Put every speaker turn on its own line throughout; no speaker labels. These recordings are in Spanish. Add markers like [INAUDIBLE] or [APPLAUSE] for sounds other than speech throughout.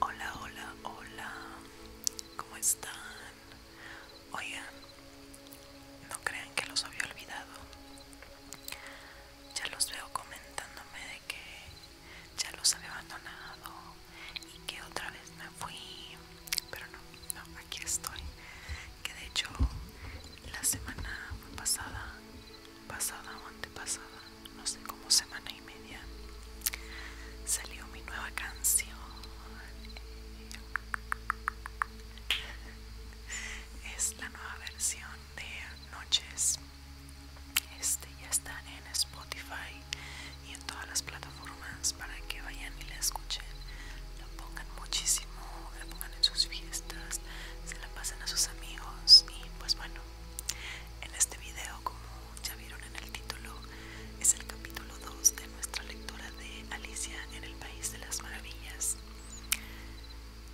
Hola, hola, hola. ¿Cómo están? Oigan, no crean que los había olvidado. Ya los veo comentándome de que ya los había abandonado y que otra vez me fui. Pero no, no, aquí estoy que de hecho la semana pasada pasada o antepasada no sé cómo semana y media salió mi nueva canción es la nueva versión de noches este ya está en Spotify y en todas las plataformas para que vayan y la escuchen la pongan muchísimo, la pongan en sus fiestas, se la pasen a sus amigos y pues bueno, en este video como ya vieron en el título es el capítulo 2 de nuestra lectura de Alicia en el País de las Maravillas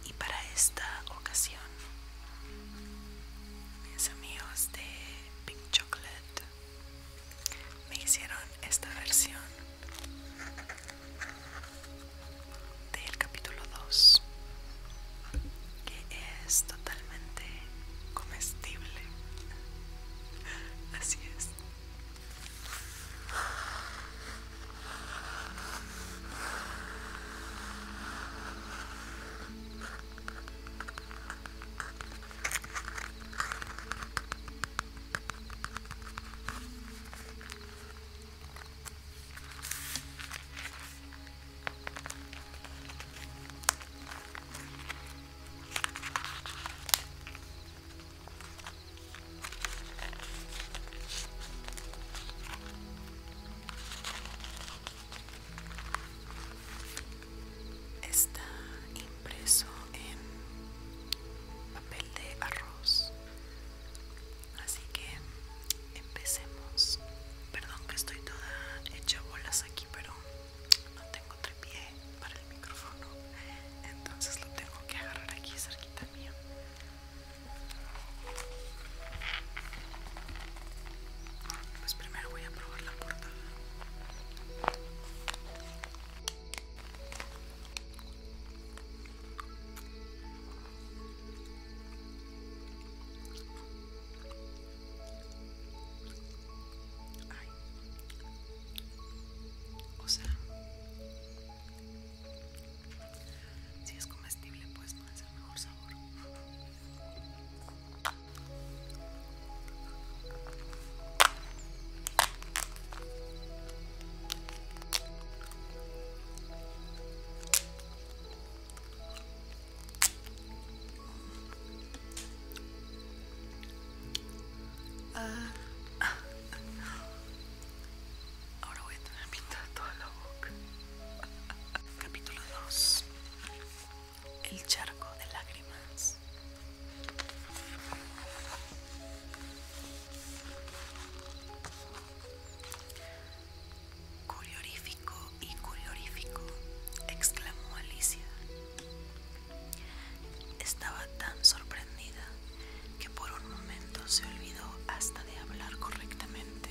y para esta ocasión mis amigos de Pink Chocolate me hicieron esta versión del capítulo 2 que es totalmente comestible [LAUGHS] así es Está impreso en papel de arroz Así que empecemos. Perdón que estoy toda hecha bolas aquí, pero no tengo trepié para el micrófono. Entonces lo tengo que agarrar aquí cerquita mía. Pues primero voy a probar la portada. Ay. O sea, si es comestible, pues no es el mejor sabor. Ah. Ahora voy a terminar todo el libro. [LAUGHS] Capítulo 2. El charco de lágrimas. Curiorífico y curiorífico, exclamó Alicia. Estaba tan sorprendida que por un momento se olvidó hasta de hablar correctamente.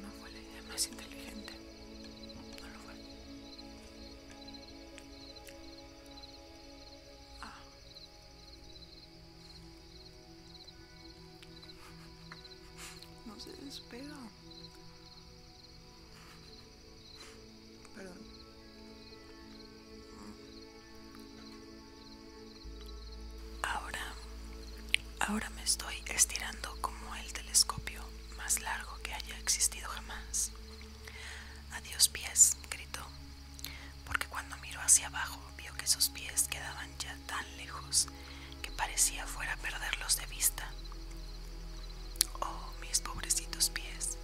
No fue la idea más inteligente. No lo fue. Ah. No se pero... Perdón. Ahora, ahora me estoy estirando como el telescopio más largo que haya existido jamás. Adiós pies, gritó, porque cuando miró hacia abajo vio que sus pies quedaban ya tan lejos que parecía fuera perderlos de vista. Oh, mis pobrecitos pies,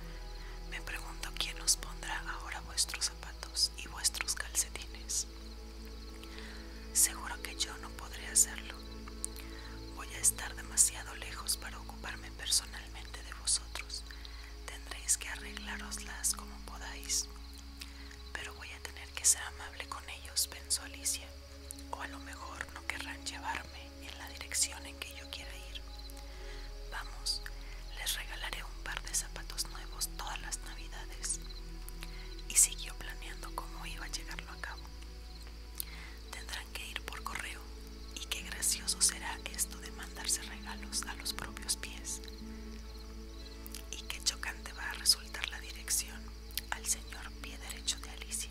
me pregunto quién os pondrá ahora vuestros zapatos y vuestros calcetines. Seguro que yo no podré hacerlo. Voy a estar demasiado lejos para ocuparme personalmente de vosotros. Tendréis que arreglároslas como podáis. Pero voy a tener que ser amable con ellos, pensó Alicia o a lo mejor no querrán llevarme en la dirección en que yo quiera ir. Vamos, les regalaré un par de zapatos nuevos todas las navidades. Y siguió planeando cómo iba a llegarlo a cabo. Tendrán que ir por correo y qué gracioso será esto de mandarse regalos a los propios pies. Y qué chocante va a resultar la dirección al señor pie derecho de Alicia,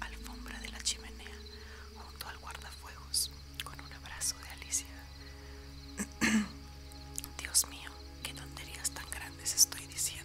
alfombra de la chimenea, junto al guardafuegos, con un abrazo de Alicia. [CLEARS THROAT] Dios mío, qué tonterías tan grandes estoy diciendo.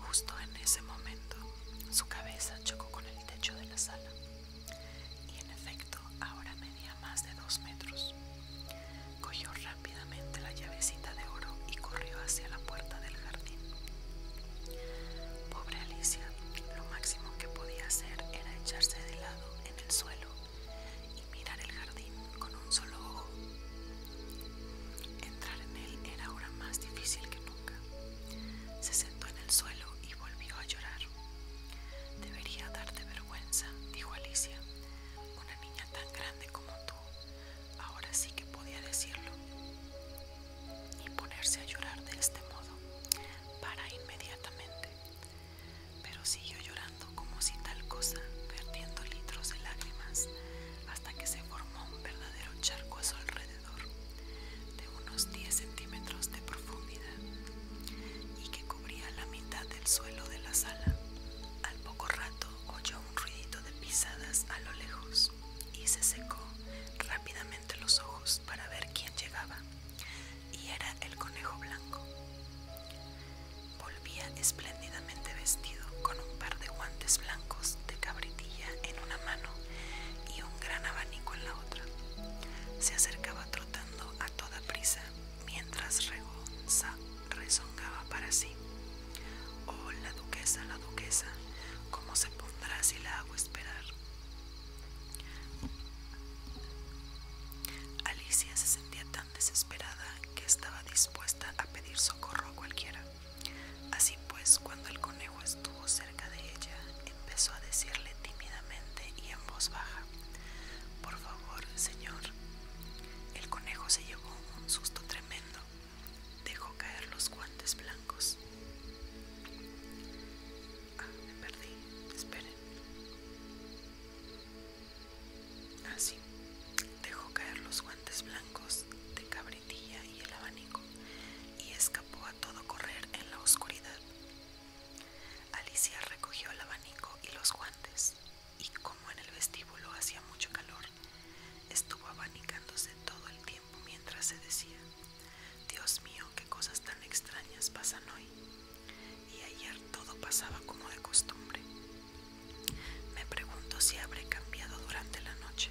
Justo en ese momento, su cabeza chocó con el techo de la sala y en efecto ahora medía más de dos metros. Cogió rápidamente la llavecita de oro y corrió hacia la puerta del jardín. Pobre Alicia, lo máximo que podía hacer era echarse de lado en el suelo y mirar el jardín con un solo ojo. Entrar en él era ahora más difícil que nunca. Se sentó en el suelo y volvió a llorar. Debería darte vergüenza, dijo Alicia. Una niña tan grande como tú. Ahora sí que podía decirlo y ponerse a llorar de este modo para inmediatamente. Pero siguió llorando como si tal cosa, vertiendo litros de lágrimas hasta que se formó un verdadero charco a su alrededor, de unos 10 centímetros de profundidad y que cubría la mitad del suelo de la sala. Al poco rato oyó un ruidito de pisadas a lo lejos y se secó rápidamente los ojos para ver quién llegaba, y era el conejo blanco. Volvía espléndidamente vestido con un par de guantes blancos de cabritilla en una mano y un gran abanico en la otra. Se acercaba trotando a toda prisa mientras rezongaba para sí. Oh, la duquesa, la duquesa, ¿cómo se pondrá si la hago esperar? Alicia se sentía tan desesperada que estaba dispuesta a pedir socorro a cualquiera. Así pues, cuando el conejo estuvo cerca de ella, empezó a decirle tímidamente y en voz baja, Por favor, señor. El conejo se llevó un susto tremendo Dejó caer los guantes blancos. Ah, me perdí. Esperen. Así. Ah, Dejó caer los guantes blancos de cabritilla y el abanico y escapó a todo correr en la oscuridad. Alicia recogió el abanico y los guantes y como en el vestíbulo hacía mucho calor, Estuvo abanicándose todo el tiempo mientras se decía, Dios mío, qué cosas tan extrañas pasan hoy. Y ayer todo pasaba como de costumbre. Me pregunto si habré cambiado durante la noche.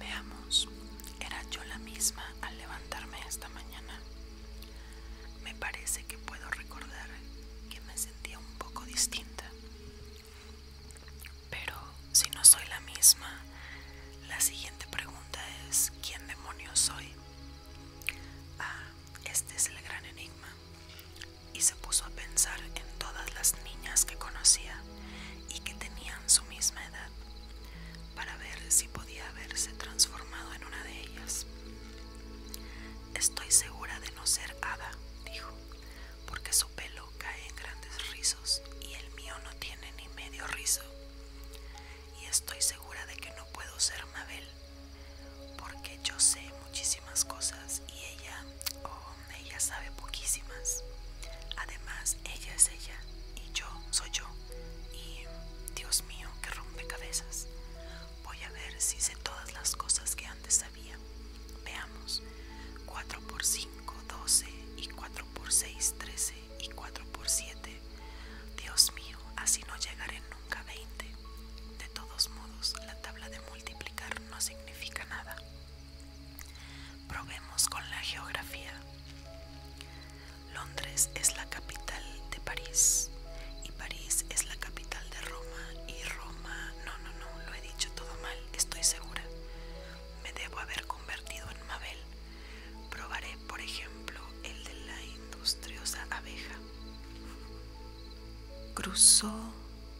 Veamos, era yo la misma al levantarme esta mañana. Me parece que puedo recordar que me sentía un poco distinta. Pero si no soy la misma, la siguiente pregunta es, ¿quién demonios soy? Ah, este es el gran enigma. Y se puso a pensar en todas las niñas que conocía y que tenían su misma edad para ver si podía haberse transformado en una de ellas. Estoy segura de no ser Ada, dijo, porque su pelo cae en grandes rizos y el mío no tiene ni medio rizo. Y estoy segura de que no puedo ser Mabel, porque yo sé muchísimas cosas y ella, oh, ella sabe poquísimas. Además, ella es ella y yo soy yo y Dios mío que rompe cabezas, Voy a ver si sé todas las cosas que antes sabía. Veamos. 4 por 5, 12 y 4 por 6, 13 y 4 por 7. Dios mío, así no llegaré nunca a 20. De todos modos, la tabla de multiplicar no significa nada. Probemos con la geografía. Londres es la capital de París y París es la capital de Roma y Roma... No, no, no, lo he dicho todo mal, estoy segura. Me debo haber convertido en Mabel. Probaré, por ejemplo, el de la industriosa abeja. Cruzó,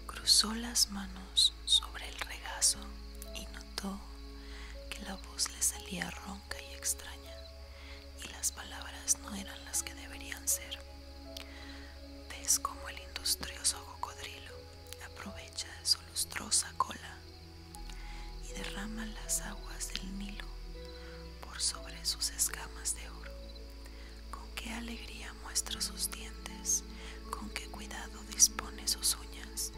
cruzó las manos sobre el regazo y notó que la voz le salía ronca y extraña y las palabras no eran las que deberían ser. Ves como el industrioso cocodrilo aprovecha su lustrosa cola y derrama las aguas del Nilo por sobre sus escamas de oro. Con qué alegría muestra sus dientes, con qué cuidado dispone sus uñas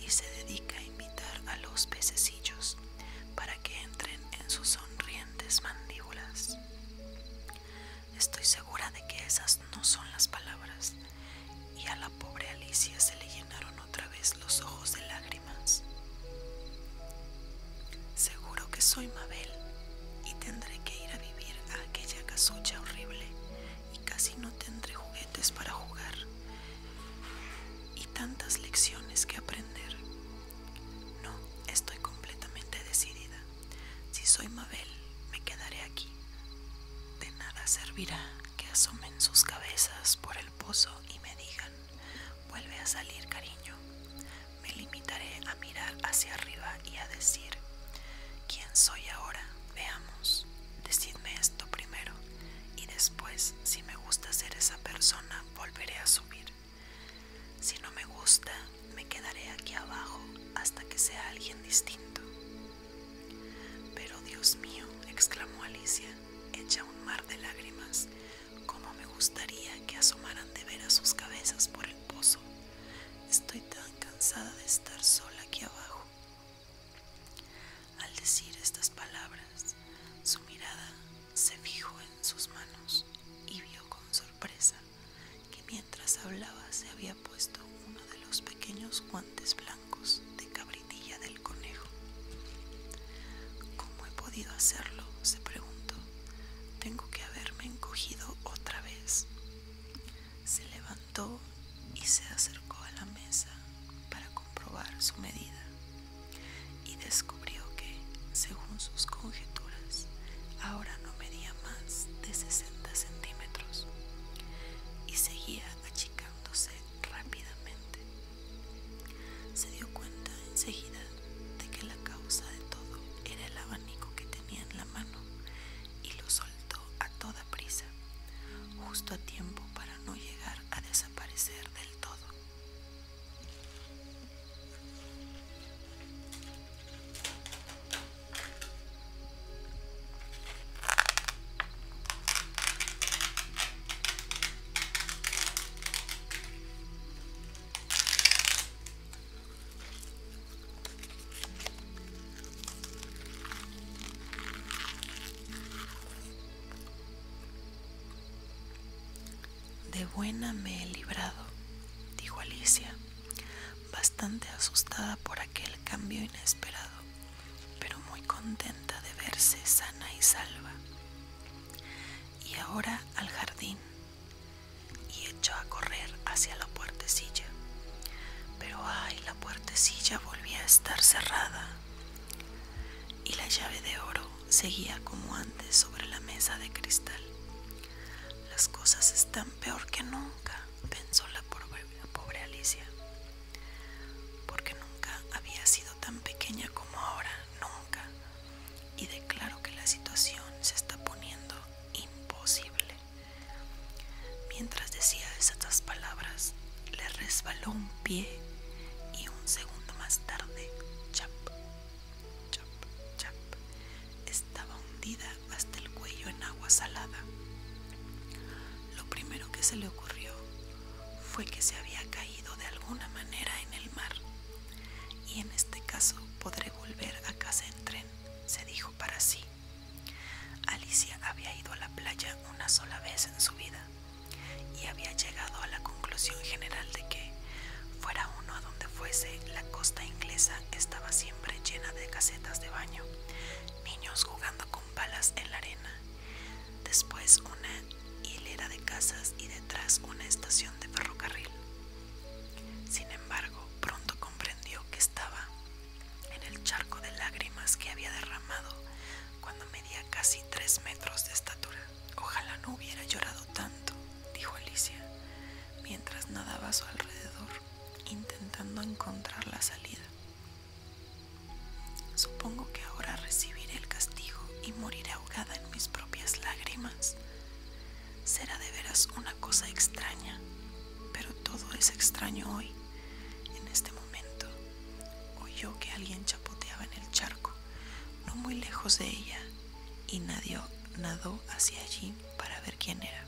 y se dedica a imitar a los pececillos para que entren en sus sonrientes mandíbulas. Estoy segura de que esas no son las palabras, y a la pobre Alicia se le llenaron otra vez los ojos de lágrimas. Seguro que soy Mabel y tendré que ir a vivir a aquella casucha horrible y casi no tendré juguetes para jugar y tantas lecciones que aprender. No, estoy completamente decidida. Si soy Mabel, me quedaré aquí. De nada servirá que asomen sus cabezas por el pozo y me digan, vuelve a salir cariño. Me limitaré a mirar hacia arriba y a decir, ¿quién soy ahora? Veamos, decidme esto primero y después, si me gusta ser esa persona, volveré a subir. Si no me gusta, me quedaré aquí abajo hasta que sea alguien distinto. Pero Dios mío, exclamó Alicia, hecha un mar de lágrimas, cómo me gustaría que asomaran de veras sus cabezas por el pozo. Estoy tan cansada de estar sola aquí abajo. Al decir estas palabras, su mirada se fijó en sus manos y vio con sorpresa que mientras hablaba se había puesto uno de los pequeños guantes blancos de cabritilla del conejo. ¿Cómo he podido hacerlo? se preguntó. Tengo que haberme encogido otra vez. Se levantó y se acercó a la mesa para comprobar su medida y descubrió que, según sus conjeturas, ahora no medía más de 60 centímetros y seguía achicándose rápidamente. Se dio cuenta enseguida de que la causa de todo era el abanico que tenía en la mano y lo soltó a toda prisa, justo a tiempo para no llegar a desaparecer del todo. De buena me he librado, dijo Alicia, bastante asustada por aquel cambio inesperado, pero muy contenta de verse sana y salva. Y ahora al jardín, y echó a correr hacia la puertecilla. Pero ay, la puertecilla volvía a estar cerrada y la llave de oro seguía como antes sobre la mesa de cristal. Las cosas están peor que nunca, pensó la pobre, Alicia, porque nunca había sido tan pequeña como ahora, nunca, y declaro que la situación se está poniendo imposible. Mientras decía esas palabras, le resbaló un pie y un segundo más tarde, chap, chap, chap, estaba hundida hasta el cuello en agua salada. Lo primero que se le ocurrió fue que se había caído de alguna manera en el mar y en este caso podré volver a casa en tren, se dijo para sí. Alicia había ido a la playa una sola vez en su vida y había llegado a la conclusión general de que, fuera uno a donde fuese, la costa inglesa estaba siempre llena de casetas de baño, niños jugando con balas en la arena, después una hilera de casas y detrás una estación de ferrocarril. Sin embargo, pronto comprendió que estaba en el charco de lágrimas que había derramado cuando medía casi tres metros de estatura. Ojalá no hubiera llorado tanto, dijo Alicia, mientras nadaba a su alrededor, intentando encontrar la salida. Supongo que ahora recibiré el castigo y moriré ahogada en mis propias lágrimas. Será de veras una cosa extraña, pero todo es extraño hoy, en este momento, Oyó que alguien chapoteaba en el charco, no muy lejos de ella, y nadie nadó hacia allí para ver quién era.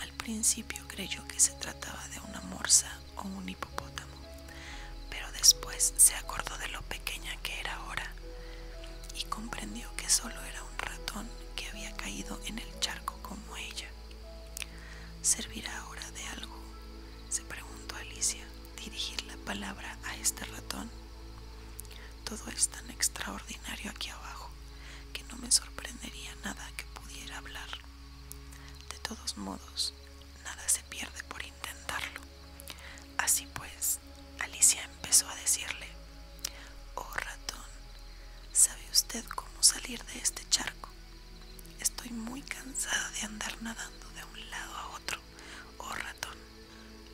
Al principio creyó que se trataba de una morsa o un hipopótamo, pero después se acordó de lo pequeña que era ahora y comprendió que solo era un ratón que había caído en el charco como ella. ¿Servirá ahora de algo? se preguntó Alicia, dirigir la palabra a este ratón. Todo es tan extraordinario aquí abajo que no me sorprendería nada que pudiera hablar. De todos modos, nada se pierde por intentarlo. Así pues, Alicia empezó a decirle, Oh ratón, ¿sabe usted cómo salir de este charco? Estoy muy cansada de andar nadando de un lado a otro. Oh ratón.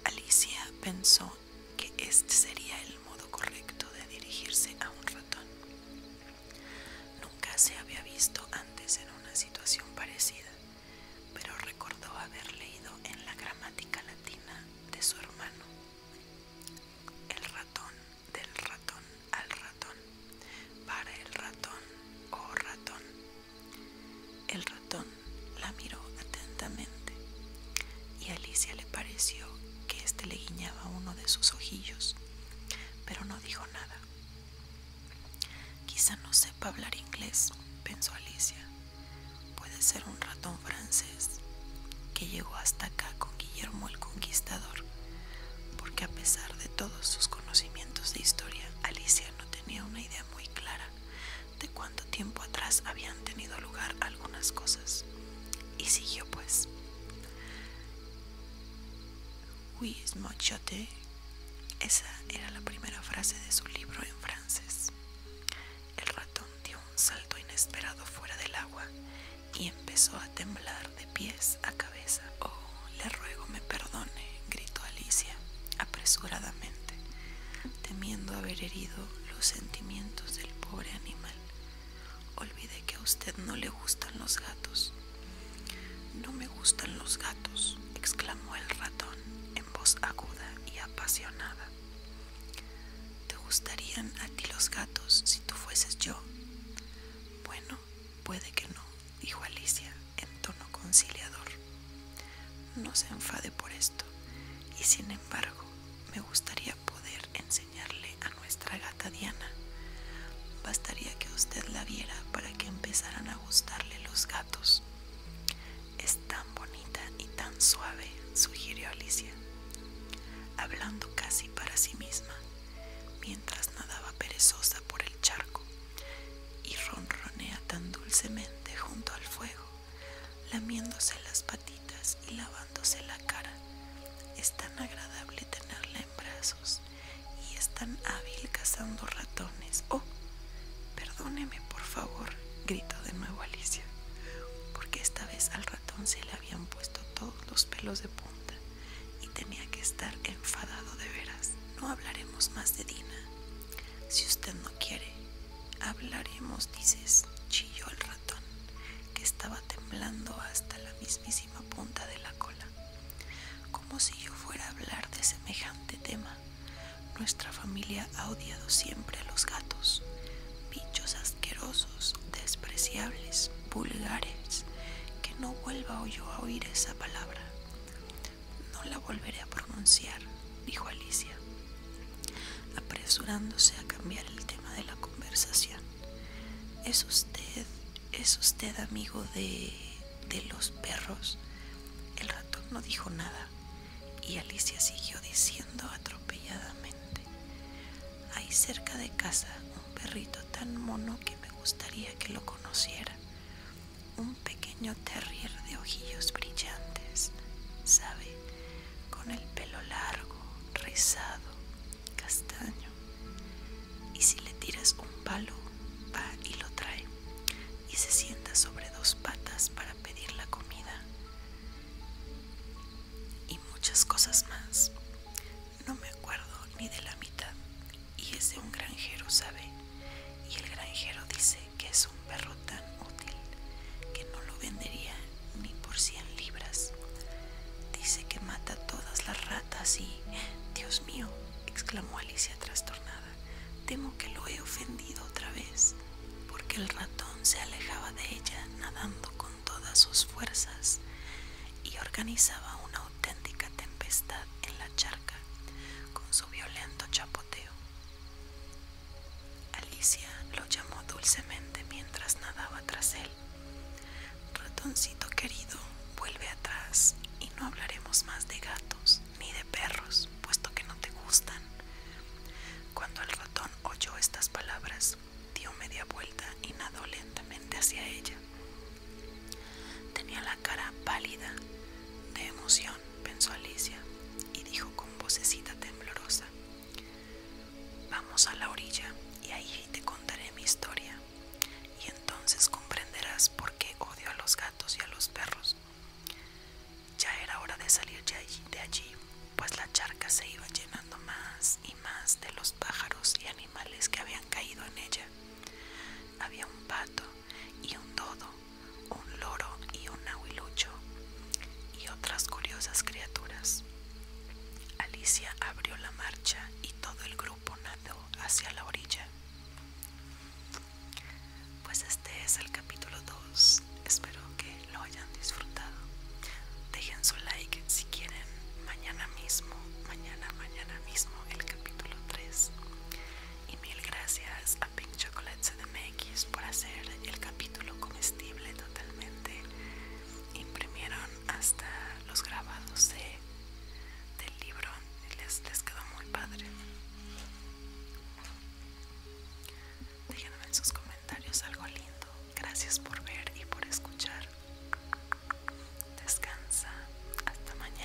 Alicia pensó que este sería el modo correcto de dirigirse a un ratón. Nunca se había visto antes en una situación parecida, pero recordó haber leído en la gramática latina de su hermano. El ratón del ratón al ratón para el ratón o oh ratón. El ratón la miró atentamente y a Alicia le pareció que éste le guiñaba uno de sus ojillos, pero no dijo nada. Quizá no sepa hablar inglés, pensó Alicia. Puede ser un ratón francés que llegó hasta acá con Guillermo el Conquistador porque a pesar de todos sus conocimientos de historia, Alicia no tenía una idea muy clara de cuánto tiempo atrás habían tenido lugar algunas cosas. Y siguió pues. «Oui, Mochote. Esa era la primera frase de su libro en francés. El ratón dio un salto inesperado fuera del agua y empezó a temblar de pies a cabeza. Oh, le ruego me perdone, gritó Alicia apresuradamente, temiendo haber herido los sentimientos del pobre animal. Olvide que a usted no le gustan los gatos. No me gustan los gatos, exclamó el ratón en voz aguda y apasionada. ¿Te gustarían a ti los gatos si tú fueses yo? Bueno, puede que no, dijo Alicia en tono conciliador. No se enfade por esto, y sin embargo, me gustaría poder enseñarle a nuestra gata Diana. Bastaría que usted la viera para que empezaran a gustarle los gatos. Es tan bonita y tan suave, sugirió Alicia, hablando casi para sí misma mientras nadaba perezosa por el charco y ronronea tan dulcemente junto al fuego, lamiéndose las patitas y lavándose la cara. Es tan agradable tenerla en brazos y es tan hábil cazando ratones. Oh, perdóneme, por favor, gritó de nuevo Alicia, porque esta vez al ratón se le habían puesto todos los pelos de punta y tenía que estar enfadado de veras. No hablaremos más de Dina. Si usted no quiere, hablaremos, dices, chilló el ratón, que estaba temblando hasta la mismísima punta de la cola. Como si yo fuera a hablar de semejante tema. Nuestra familia ha odiado siempre a los gatos bichos asquerosos, despreciables, vulgares, que no vuelva yo a oír esa palabra. No la volveré a pronunciar, dijo Alicia, apresurándose a cambiar el tema de la conversación. ¿Es usted, es usted amigo de, de los perros? El ratón no dijo nada y Alicia siguió diciendo atropelladamente. hay cerca de casa un perrito tan mono que me gustaría que lo conociera. Un pequeño terrier de ojillos brillantes, ¿sabe? Con el pelo largo, rizado, castaño. Y si le tiras un palo, va y lo trae. Y se sienta sobre dos patas para pedir la comida. Y muchas cosas más. No me acuerdo ni de la mitad. Y es de un granjero, ¿sabe? Y el granjero dice que es un perro tan útil que no lo vendería ni por cien libras. Dice que mata todas las ratas y... Dios mío, exclamó Alicia trastornada. Temo que lo he ofendido otra vez, porque el ratón se alejaba de ella nadando con todas sus fuerzas y organizaba una auténtica tempestad en la charca con su violento chapoteo. Alicia lo llamó dulcemente mientras nadaba tras él. Ratoncito querido, vuelve atrás y no hablaremos más de gatos ni de perros, puesto que no te gustan. Cuando el ratón oyó estas palabras, dio media vuelta y nadó lentamente hacia ella. Tenía la cara pálida de emoción, pensó Alicia, y dijo con vocecita temblorosa, Vamos a la orilla y ahí te contaré mi historia, y entonces comprenderás por qué odio a los gatos y a los perros. Ya era hora de salir de allí, de allí pues la charca se iba llenando más y más de los pájaros y animales que habían caído en ella. Había un pato y un dodo, un loro y un aguilucho y otras curiosas criaturas. Alicia abrió la marcha y todo el grupo nadó hacia la orilla. Pues este es el capítulo 2. Espero que lo hayan disfrutado. Dejen su like si quieren mañana mismo, mañana, mañana mismo el capítulo 3. Y mil gracias a Pink Chocolate CDMX por hacer el capítulo comestible totalmente. Imprimieron hasta los grabados del libro les, les quedó muy padre. déjenme en sus comentarios algo lindo Gracias por ver y por escuchar. Descansa. Hasta mañana.